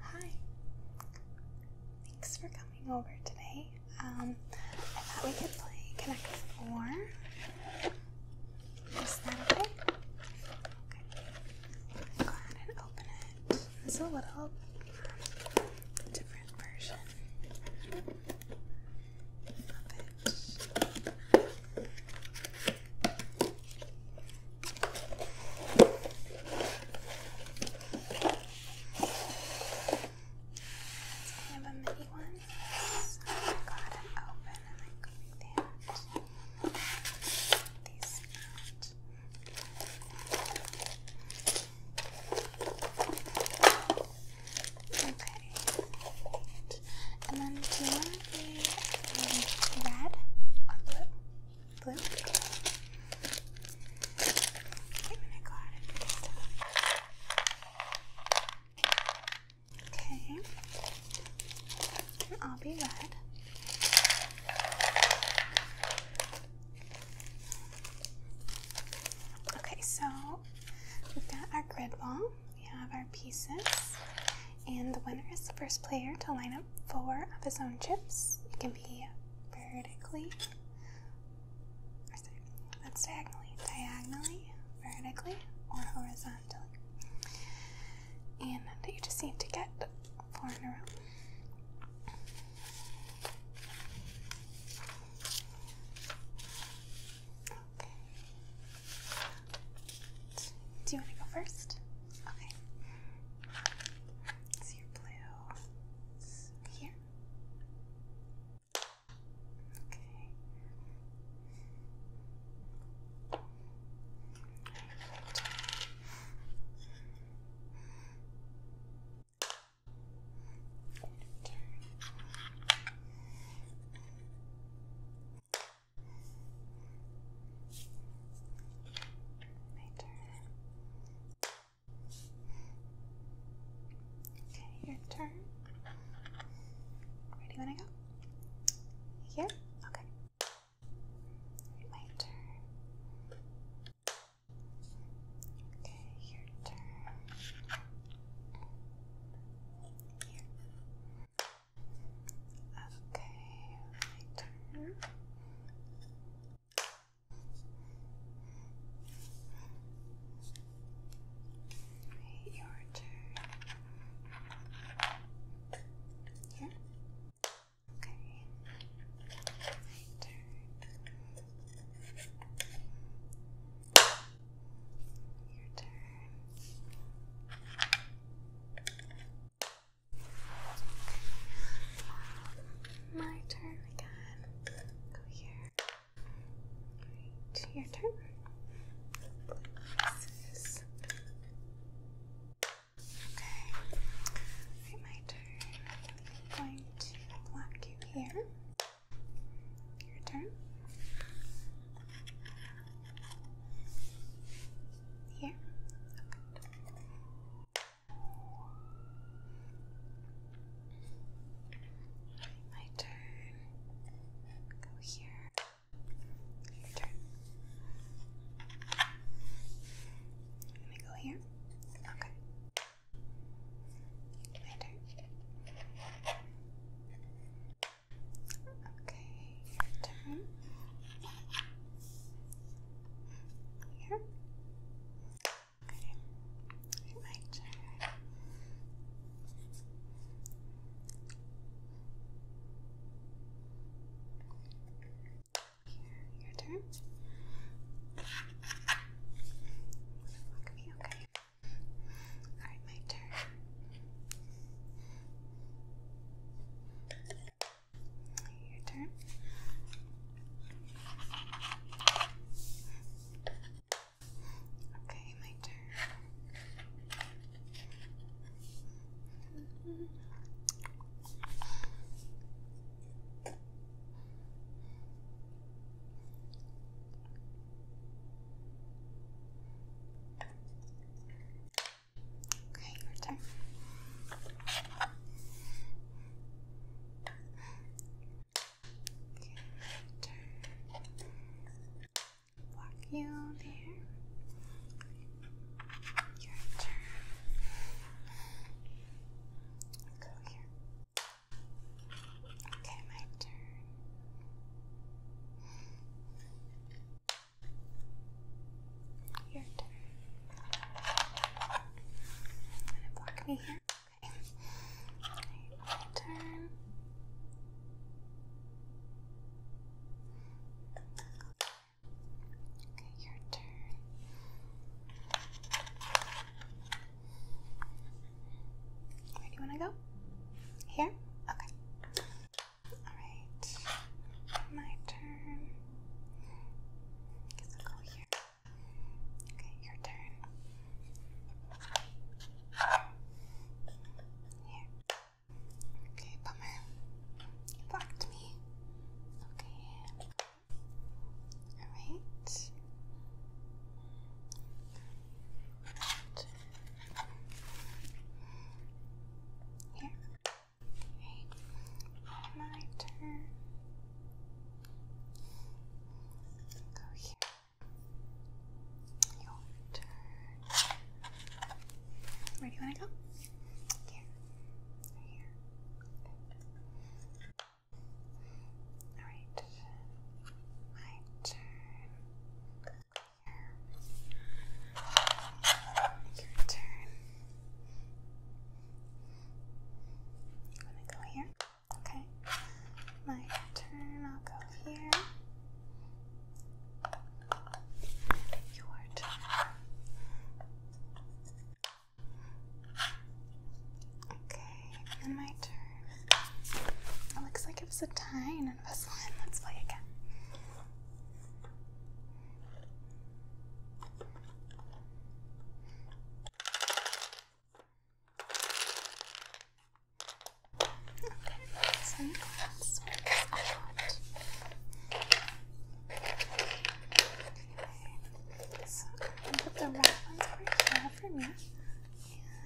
Hi. Thanks for coming over today. Um, I thought we could play Connect Four. Is that Okay. Go ahead and open it. It's a little different version of it kind of a mini one. So I got it open and I got that. These out. Okay. And then do you want to be um, red or blue? Blue. Okay, I'll be red. Okay, so we've got our grid wall. We have our pieces. And the winner is the first player to line up four of his own chips. It can be vertically, or that's diagonally, diagonally, vertically, or horizontally. And you just need to get four in a row. Do you want to go first? Okay. So your blue here. Okay. Okay. My turn. Okay, your turn. Where do you go? Here? Okay. My turn. Okay, your turn. Here. Okay, my turn. your turn. Okay. My turn. Your turn. My turn again. Go here. your turn. Places. Okay. my turn. I'm going to block you here. Your turn. Here. My turn. Go here. Your turn. I'm go here. Okay. My turn. Okay, your turn. Clear? Okay. My turn. Here, your turn. okay. Alright, my turn. Your turn. Okay, my turn. Okay, your turn. Okay, your turn. Block you there. Your turn. Go here. Okay, my turn. Your turn. block me here. Okay. my turn. Okay, your turn. Where do you wanna go? Here? Okay. Alright, my turn. I guess I'll go here. Okay, your turn. Here. Okay, bummer. You blocked me. Okay. Alright. Right. Here. My turn. Go here. Your turn. Where do you want to go? Here. here. Alright. My turn. Your turn. You wanna go here? Okay. My turn, I'll go here. your turn. Okay, my turn. It looks like it was a tie and it was Let's play again. Okay, so that's what I got. Okay, so I'm gonna put the red ones right here for me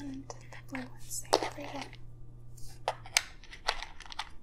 and the blue ones there for you. Okay.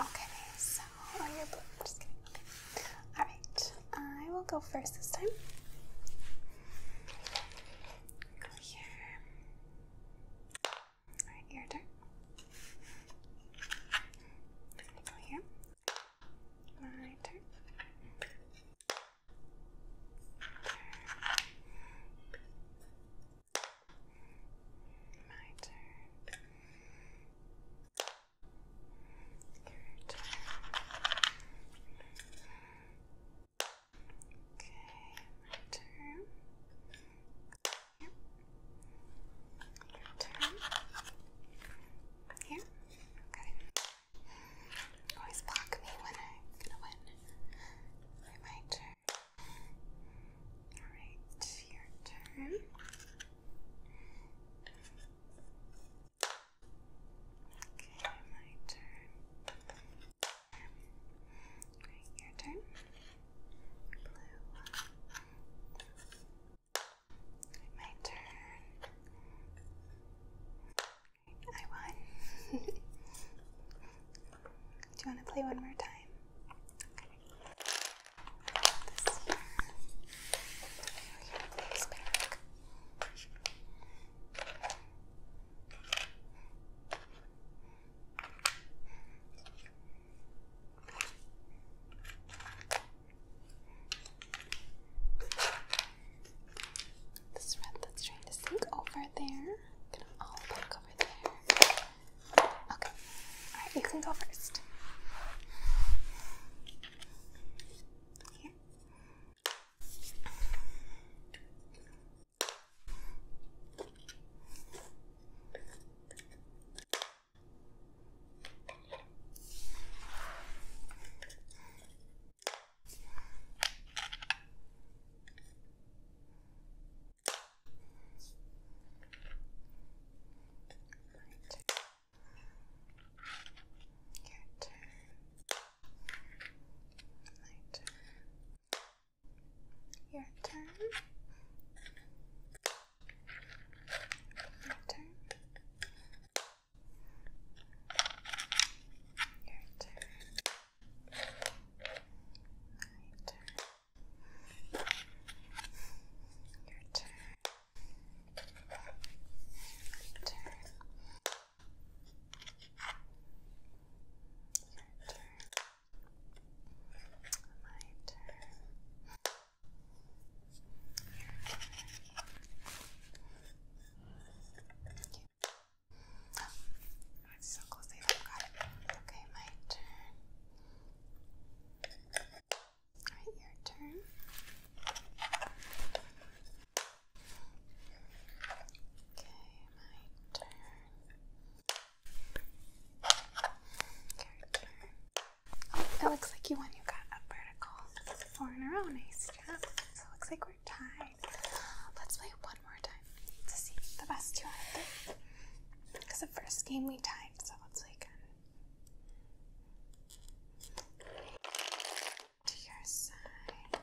Okay, so oh, you blue. I'm just kidding. All right, I will go first this time. Go here. Alright, your turn. Go here. My turn. My turn. Your turn. Okay, my turn. Here. Your turn. Here. Okay. Always block me when I'm gonna win. my turn. Alright, your turn. Okay, my turn your turn. Blue. My turn. I won. Do you want to play one more time? This red that's trying to sink over there. Get them all back over there. Okay. Alright, you can go first. Here. Your turn. My turn. Your turn. Your turn. Your turn. My turn. Your turn. My turn. Your turn. My turn. Your turn. Okay. Oh, it's so close I forgot it. Okay, my turn. Alright, your turn. Okay, my turn it looks like you won. You got a vertical four in a row. Nice job. So it looks like we're tied. Let's play one more time to see the best two out of three. Because the first game we tied, so let's play again. To your side.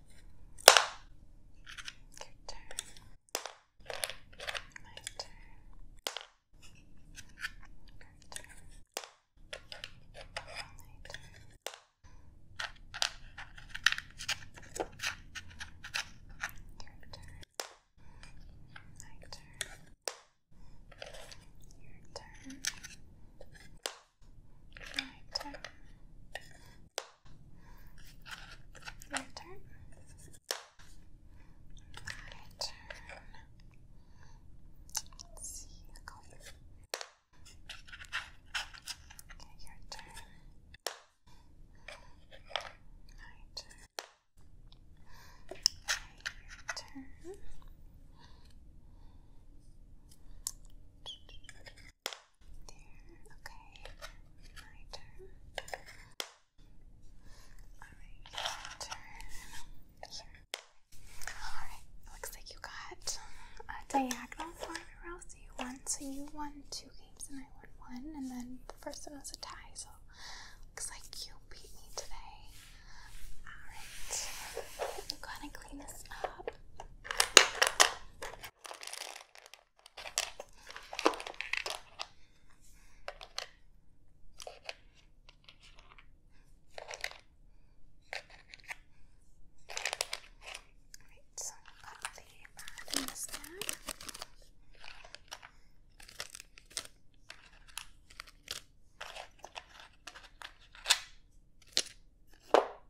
Your turn. My turn. Your turn. My turn. Your turn. My turn. Your turn. My turn. Your turn. My turn. see. Okay, your turn. My turn. Okay, your turn okay. My turn. Alright, turn. Sure. Alright, looks like you got a diagonal four in a row, so you won. So you won two games and I won one, and then the first one was a tie, so looks like you beat me today. Alright, go ahead and clean this up. Alright, so I'll put the pad in this tab. Okay.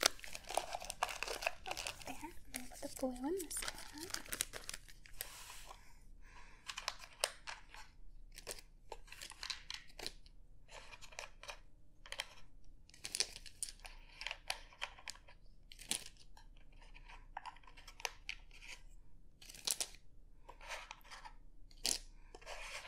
there, and then put the blue in this one. Okay,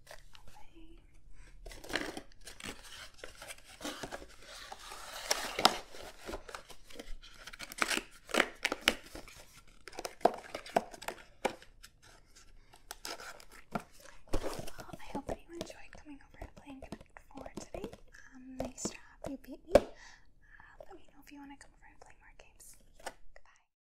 I hope you enjoyed coming over and playing Connect 4 today. Um, nice job, you beat me. Uh, let me know if you want to come over and play more games. Goodbye.